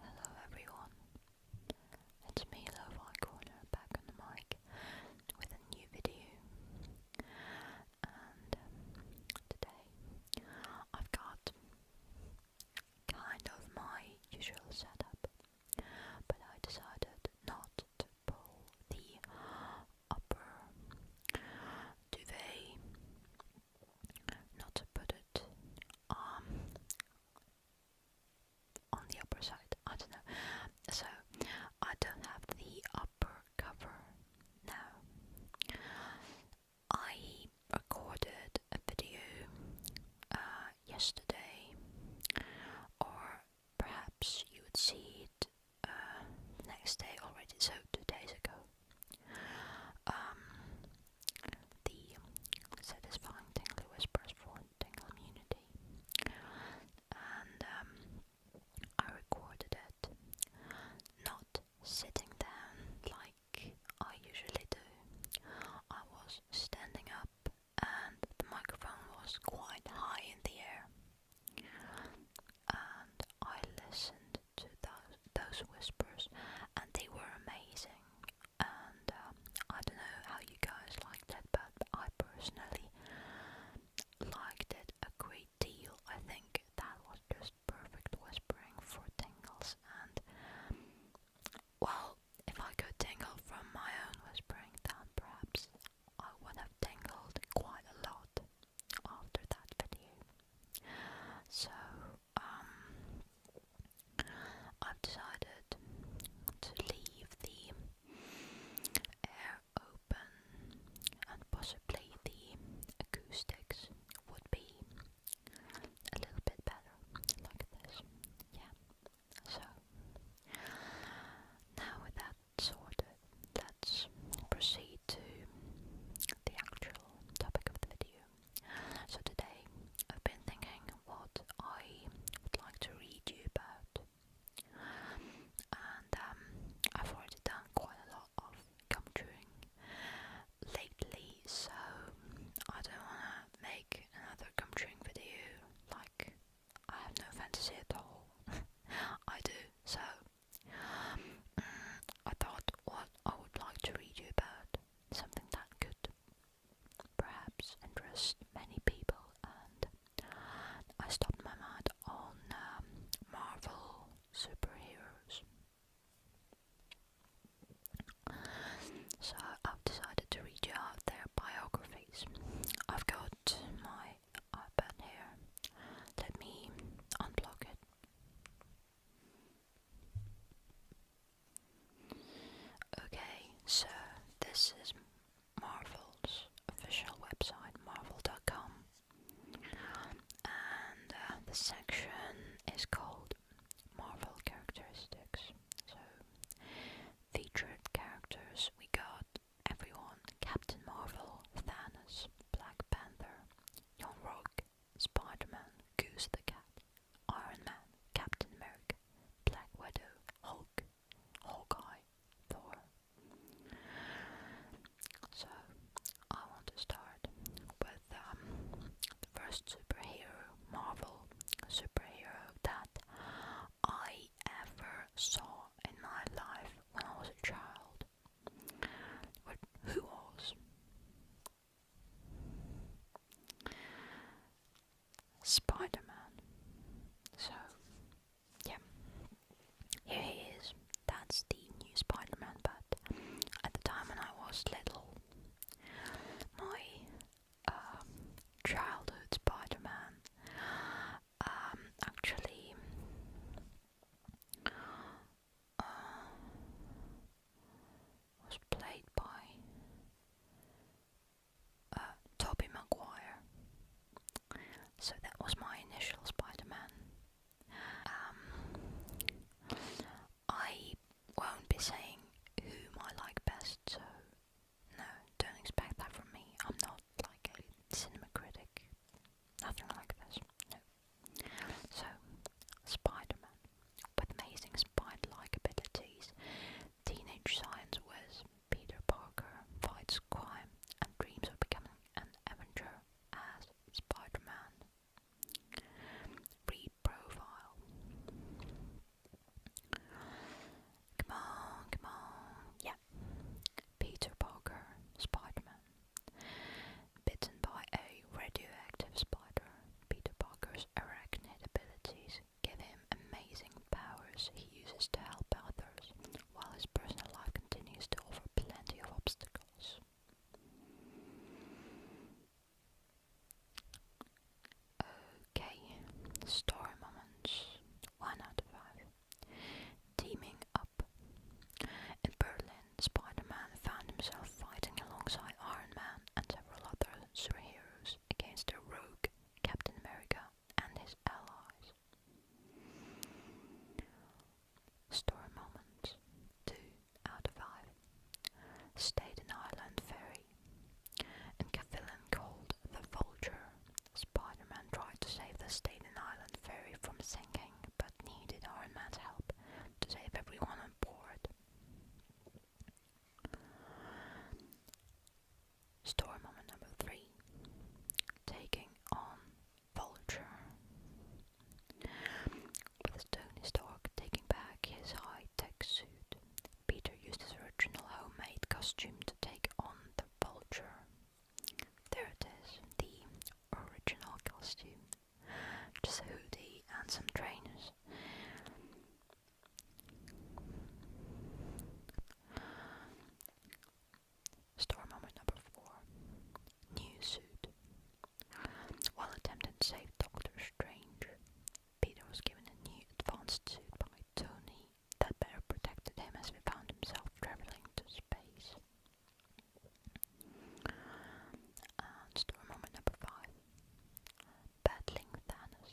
Hello everyone, it's me Love Corner back on the mic with a new video and um, today I've got kind of my usual setup but I decided not to pull the upper duvet, not to put it um, on the upper side. I don't know. So I don't have the upper cover now. I recorded a video uh, yesterday or perhaps you would see it uh, next day already, so two days ago. Um, the satisfying tingly whispers for tingle immunity, and um, I recorded it, not sitting down like I usually do. I was standing up and the microphone was quite high in the air. And I listened to those, whispers, and they were amazing. And um, I don't know how you guys like that, but I personally liked it a great deal. I think that was just perfect whispering for tingles, and well, if I could tingle from my own whispering, then perhaps I would have tangled quite a lot after that video. So, um, I've decided to leave the air open and possibly the acoustics would be a little bit better, like this. Yeah. So, now with sorted, let's proceed to the actual topic of the video. So today, I've been thinking what I would like to read you about. And um, I've already done quite a lot of come chewing lately, so I don't want to make another come chewing video like I have no fantasy at all. I do, so mm, I thought what I would like to read you about, something that could perhaps interest many people, and I stopped my mind on um, Marvel superheroes. So I've decided to read you out their biography. I've got my iPad here. Let me unblock it. Okay, so this is Marvel's official website, marvel.com, and uh, the section is called Marvel Characteristics. So, featured characters we got everyone Captain Marvel, Thanos, Black Panther, Young Rock, Spider Man, Goose the Cat, Iron Man, Captain America, Black Widow, Hulk, Hawkeye, Thor. So, I want to start with um, the first superhero, Marvel superhero that I ever saw in my life when I was a child. who was? Spider So, yeah. Here he is. That's the new Spider but at the time when I was little, my uh, childhood Spider um, actually uh, was played by uh, Toby Maguire. So that was my initial Spider-Man. Um, I won't be saying whom I like best, so no, don't expect that from me. I'm not like a cinema critic. Nothing like this. So, Spider With amazing spider like abilities, teenage science was Peter Parker fights crime and dreams of becoming an Avenger as Spider Read profile. Come on, come on. Yeah. Peter Parker, Spider Man. Bitten by a radioactive spider, Peter Parker's arachnid abilities give him amazing powers he uses to help others, while his personal life continues to offer plenty of obstacles. Okay, story moments. One out of five. Teaming up. In Berlin, Spider Man found himself fighting alongside Iron Man and several other superheroes against a rogue Captain America and his allies. Story moments 2 out of 5. Stayed Island Ferry. In Cavillin called the Vulture, Spider-Man tried to save the Staten Island ferry from sinking, but needed Iron Man's help to save everyone on board. Story moment number three. Taking on Vulture. With Tony Stark taking back his high-tech suit, Peter used his original homemade costume to take on the Vulture. There it is, the original costume. Just a hoodie and some trainers. Storm moment number four. New suit. While attempting to save Doctor Strange, Peter was given a new advanced suit by Tony that better protected him as he found himself traveling to space. And moment number 5. Battling Thanos.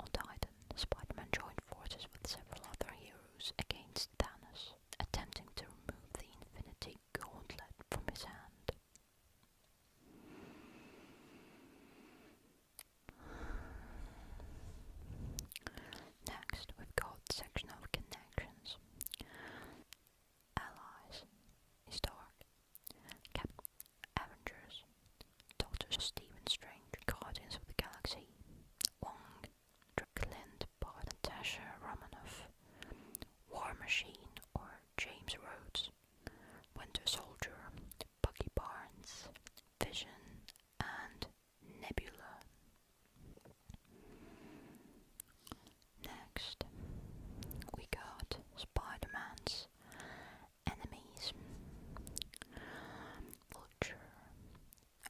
On Titan, Spider-Man joined forces with several other heroes against Thanos, attempting to remove the Infinity Gauntlet from his hand. Next, we've got section of connections. Allies, Historic, Avengers, Doctor Stephen Strange, Guardians of the Galaxy, Wong, Clint Bard and Romanoff, War Machine or James Rhodes, Winter Soldier, Bucky Barnes, Vision, and nebula. Next, we got Spider Man's enemies Vulture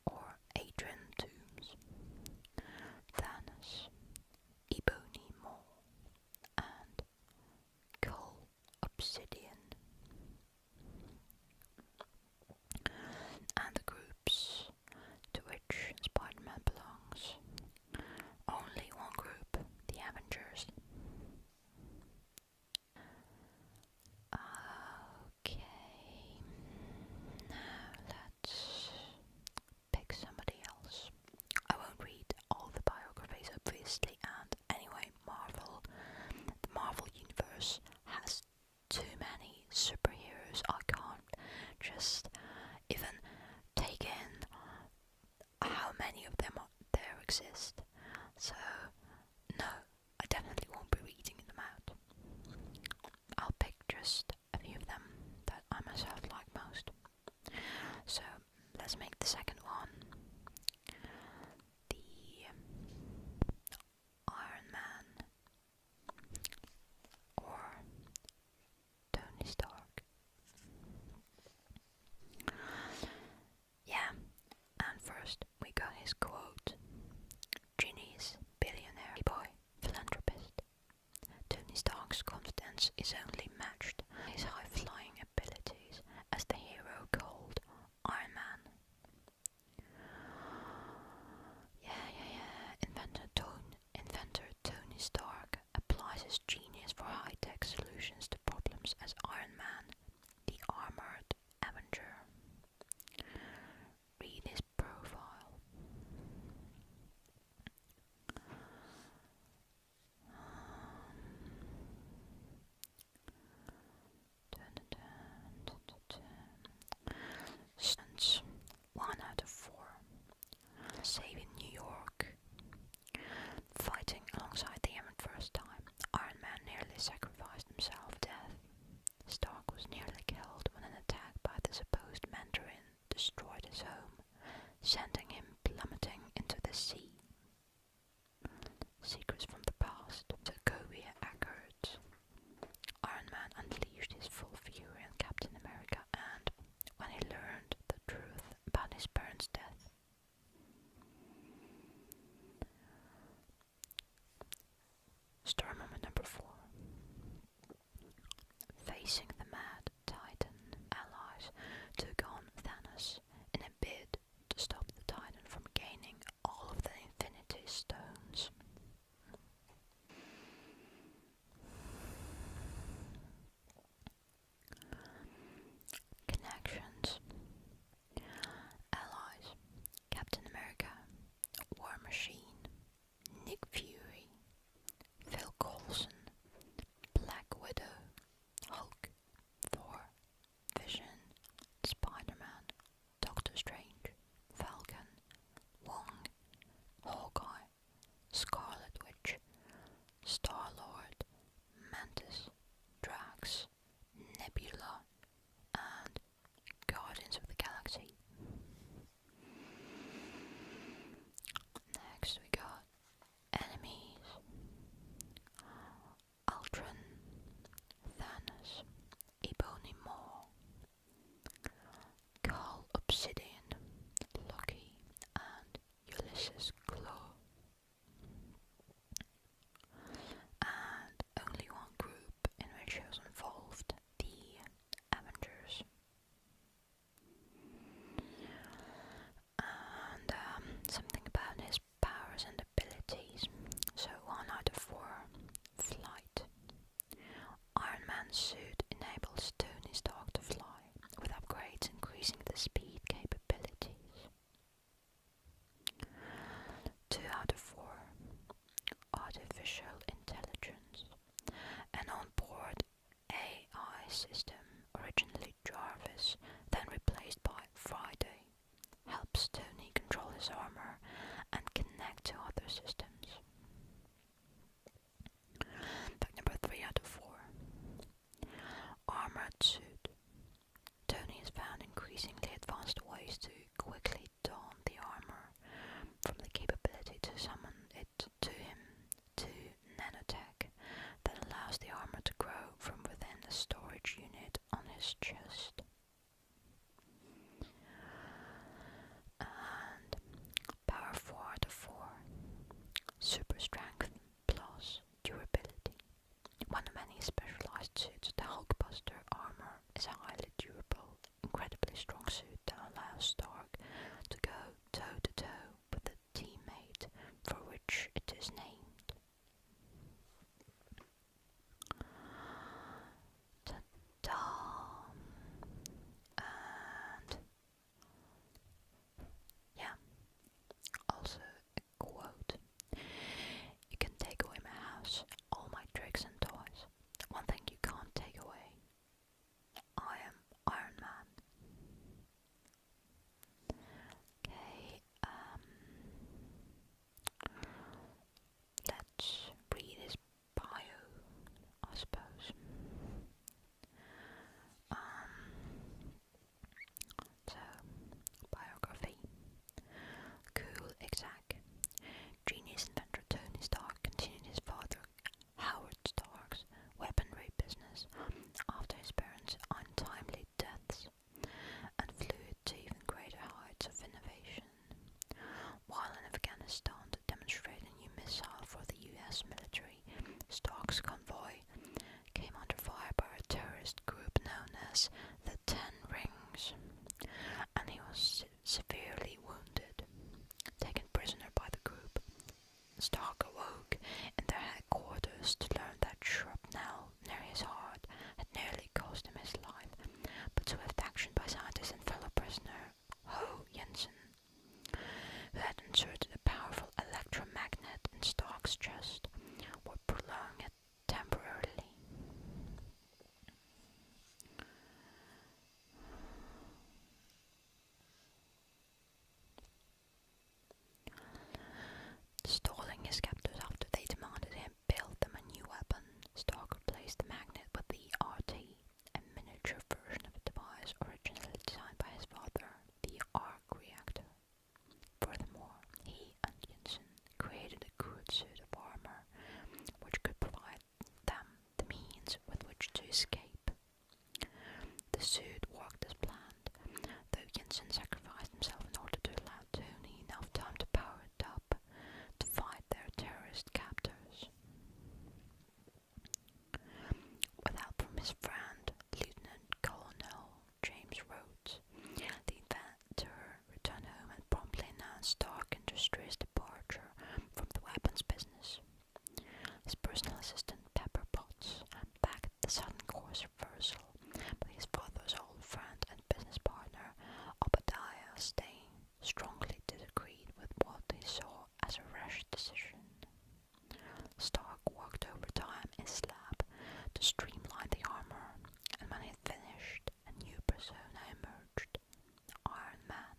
or Adrian Toombs, Thanos, Ebony Maw, and Cole Obsidian and the groups to which Spider Man belongs. Only one group, the Avengers. Okay, now let's pick somebody else. I won't read all the biographies, obviously, and anyway, Marvel, the Marvel Universe has too many superheroes. I can't just even take in how many of them there exist. So, no, I definitely won't be reading them out. I'll pick just a few of them that I myself like most. So, let's make the second one the Iron Man or Tony Stark. Yeah, and first we got his quote Ginny's billionaire boy, philanthropist. Tony Stark's confidence is only matched by his high flying abilities as the hero called Iron Man. Yeah, yeah, yeah. Inventor Tony, inventor Tony Stark applies his genius for high-tech solutions to problems as Iron Man, the Armored Avenger. Read his profile. Um, since one out of four saving New York, fighting alongside the Yemen first time, Iron Man nearly sacrificed himself to death. Stark was nearly killed when an attack by the supposed Mandarin destroyed his home, sending him plummeting into the sea. Secrets from the past to Kobe Iron Man unleashed his full fury on Captain America and, when he learned the truth about his parents' death, Story moment number four. Facing the mad Titan, allies took on Thanos in a bid to stop the Titan from gaining all of the Infinity Stones. Connections Allies Captain America War Machine Nick Fury Phil Coulson Black Widow Hulk Thor Vision Spider Man Doctor Strange, Falcon, Wong, Hawkeye, Scarlet Witch, Star Lord, Mantis, Drax, Nebula, and Guardians of the Galaxy. Next we got enemies. Ultron, Thanos, Ebony Maw, Carl Obsidian, Loki, and Ulysses Claw. And only one group in which he was involved, the Avengers. And um, something about his powers and abilities. So, one out of four Flight Iron Man's suit enables Tony's dog to fly, with upgrades increasing the speed capabilities. 2 out of 4 Artificial Intelligence An on-board AI system, originally Jarvis, then replaced by Friday, helps Tony control his armor and connect to other systems. Fact number three out of four. Armored suit. Tony has found increasingly advanced ways to quickly don the armor, from the capability to summon it to him to nanotech that allows the armor to grow from within the storage unit on his chest power forward of 4, super strength plus durability. One of many specialized suits, the Hulk Buster armor is a highly durable, incredibly strong suit that allows Stark to go toe to toe with a teammate for which it is named and yeah also quote you can take away my house all my tricks and toys one thing you can't take away I am Iron Man okay um let's read bio, I suppose. Um, so, biography. Cool, exact. Genius inventor Tony Stark continued his father Howard Stark's weaponry business after his parents' untimely deaths and flew to even greater heights of innovation. While in Afghanistan to demonstrate a new missile for the US military, Stark's convoy came under fire by a terrorist group known as the Ten Rings, and he was severely wounded. Taken prisoner by the group, Stark awoke in their headquarters to learn that shrapnel near his heart had nearly cost him his life, but swift action by Sanders and fellow prisoner Ho Jensen, who had inserted a powerful electromagnet in Stark's chest, would prolong temporarily. Stalling his captors after they demanded him build them a new weapon, Stark replaced the magnet with the RT a miniature version of a device originally designed by his father, the arc reactor. Furthermore, he and Jensen created a good suit of armor which could provide them the means with which to escape. The suit worked as planned, though Jensen sacrificed himself in order to allow Tony enough time to power it up to fight their terrorist captors. With help from his friend, Lieutenant Colonel James Rhodes, the inventor returned home and promptly announced Stark Industries' departure from the weapons business. His personal assistant, Pepper Potts, backed the sudden course reversal, but his father's old friend and business partner, Obadiah Stane, strongly disagreed with what he saw as a rash decision. Stark worked overtime in Slab to streamline the armor, and when it finished, a new persona emerged Iron Man.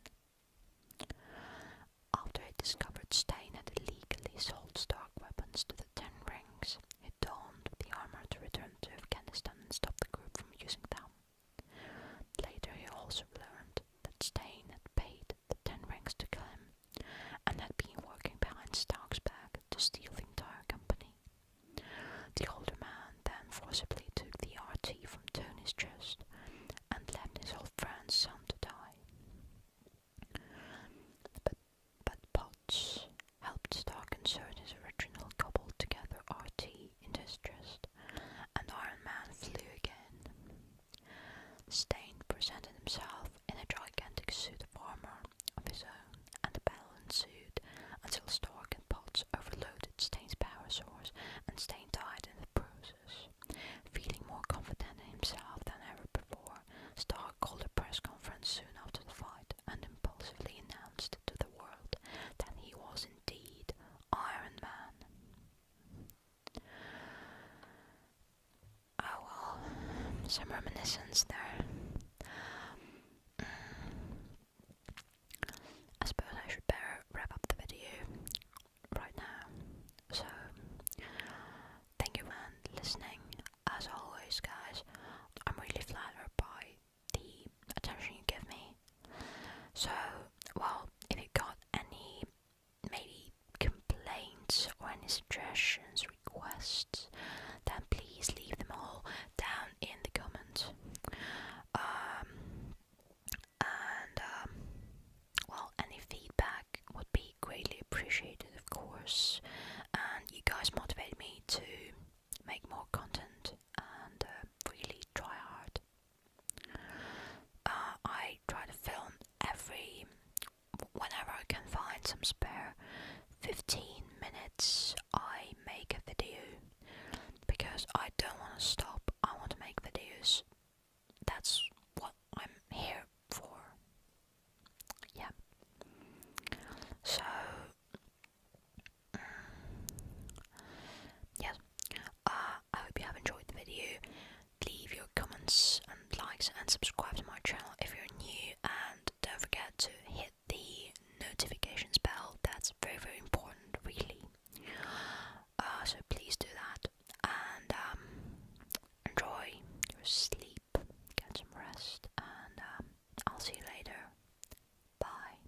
After he discovered Stain had illegally sold Stark weapons to the Ten Rings, he donned the armor to return to Afghanistan and stop the group from using them. Later he also learned that Stane had paid the ten ranks to kill him and had been working behind Stark's back to steal the entire company. The older man then forcibly took the RT from Tony's chest and left his old friend's son to die. But, but helped Stark insert his original cobbled together RT in distress, Iron Man flew again. Stein presented himself in a gigantic suit of armor of his own, and the battle ensued until Stark and Potts overloaded Stein's power source, and Stein died in the process. Feeling more confident in himself than ever before, Stark called a press conference soon after the fight and impulsively announced to the world that he was indeed Iron Man. Oh well, some reminiscence there. Mm. I suppose I should better wrap up the video right now. So, thank you for listening. As always, guys, I'm really flattered by the attention you give me. So, well, if you got any maybe complaints or any suggestions, requests, then please leave them all down in the comments. Um, and um, well, any feedback would be greatly appreciated, of course. And you guys motivate me to make more content and uh, really try hard uh, I try to film every whenever I can find some spare 15 minutes. I make a video because I don't want to stop. I want to make videos. That's what I'm here for. Yeah. So, mm, yes, uh, I hope you have enjoyed the video. Leave your comments and likes and subscribe to my channel if you're new and don't forget to hit the notifications bell. That's very very important really. Uh, so please do that and um, enjoy your sleep, get some rest and um, I'll see you later. Bye.